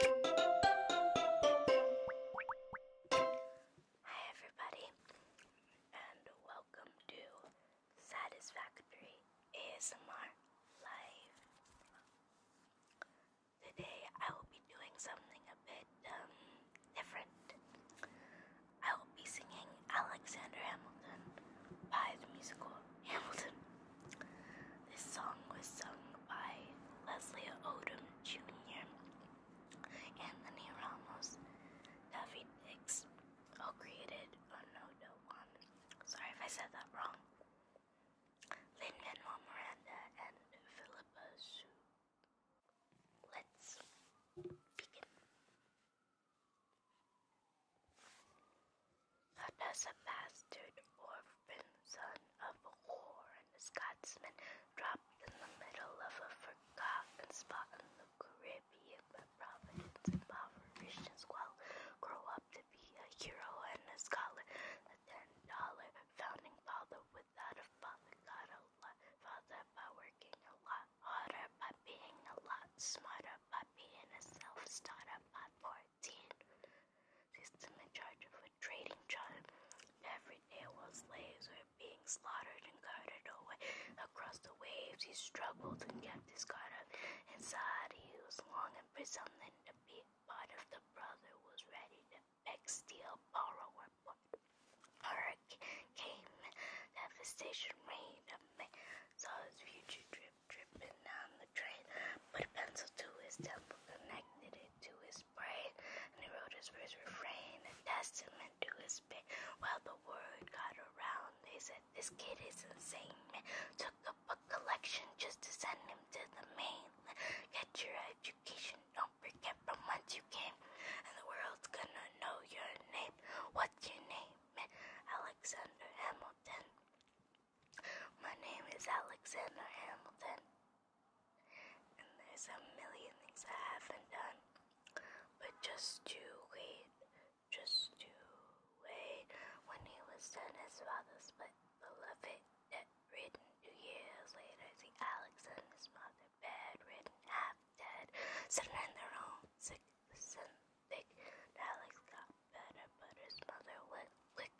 Hi everybody and welcome to Satisfactory ASMR Live. Today I will be doing something a bit um, different. I will be singing Alexander Hamilton by the musical Hamilton. This song was sung by Leslie Odom Jr., Anthony Ramos, David Hicks, all created on One. Sorry if I said that wrong. Lin Manuel Miranda and Philippa Sue. Let's begin. Not as a bastard orphan son of a whore and a Scotsman dropped in the middle of a forgotten spot in the Caribbean by Providence, impoverished Christians, squalor, grow up to be a hero and a scholar. The ten dollar founding father without a father got a father by working a lot harder, by being a lot smarter, by being a self starter, by poor 19. System in charge of a trading job. Every day while slaves were being slaughtered and carted away across the waves, he struggled and kept his guard up. Inside, he was long and for something to be part of the brother was ready to beg, steal, borrow, or what. Horror came, devastation reigned, a man saw his future dream dripping down the drain, put a pencil to his temple, connected it to his brain, and he wrote his first refrain, a testament to his pain. While the word got around, they said, This kid is insane, man. Took up a collection just to send him to the mainland. Get your education, don't forget from whence you came, and the world's gonna know your name. What's your name? Alexander Hamilton. My name is Alexander Hamilton, and there's a million things I haven't done. But just to wait, just to wait. When he was done, his father split the Written two years later, the Alex mother the bed with half dead, slender on sick, thick. Alex got better, but his mother went quick.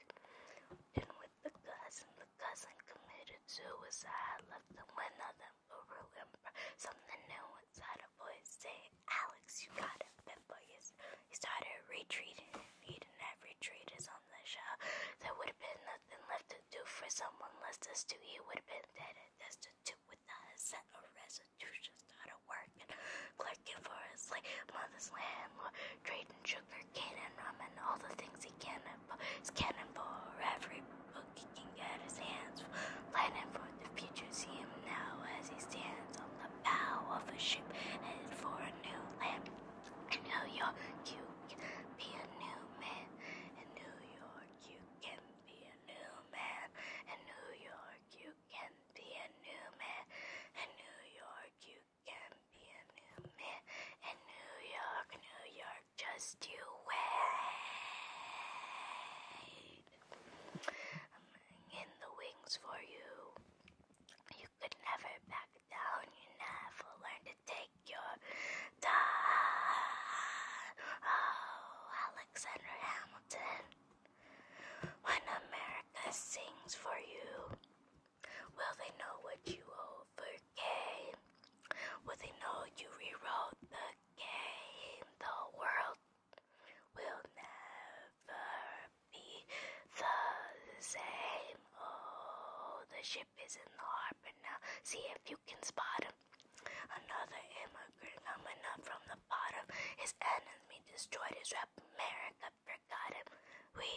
In with the cousin, the cousin committed suicide, left them with nothing but ruin. Something new inside a voice saying, Alex, you got it, but yes. He started retreating, he did not retreat is on the shelf. There would have been nothing left to do for someone less than to he would have been dead and destitute to with that set of restitution started working, clerking for his like mother's land, or trading sugar cane and rum and all the things he can is cannon for every book he can get his hands planning for the future see him now as he stands on the bow of a ship headed for a new land. I know you're cute be a new man in New York you can be a new man. In New York, you can be a new man. In New York, you can be a new man. In New York, New York, just you wait. I'm in the wings for you. You could never back down. You never learn to take take your time. Oh, Alexander Hamilton. When America sings for you, will they know what you overcame? Will they know you rewrote the game? The world will never be the same. Oh, the ship is in the harbor now. See if you can spot him. Another immigrant coming up from the bottom. His enemy destroyed his rep. America forgot him. We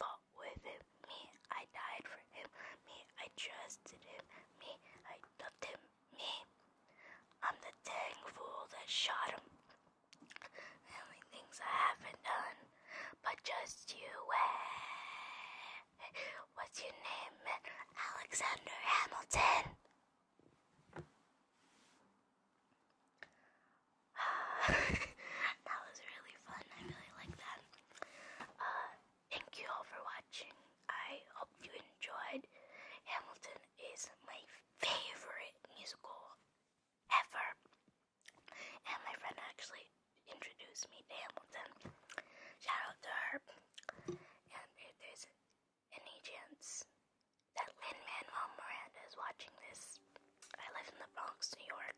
fought with him. Me, I died for him. Me, I trusted him. Me, I loved him. Me, I'm the dang fool that shot him. only things I haven't done but just you wait. Eh? What's your name? Alexander Hamilton. that was really fun. I really like that. Uh, thank you all for watching. I hope you enjoyed. Hamilton is my favorite musical ever. And my friend actually introduced me to Hamilton. Shout out to her. And if there's any chance that Lin Manuel Miranda is watching this, I live in the Bronx, New York.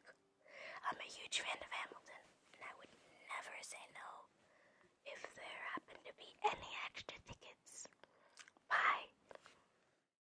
I'm a huge fan of Hamilton, and I would never say no if there happen to be any extra tickets. Bye.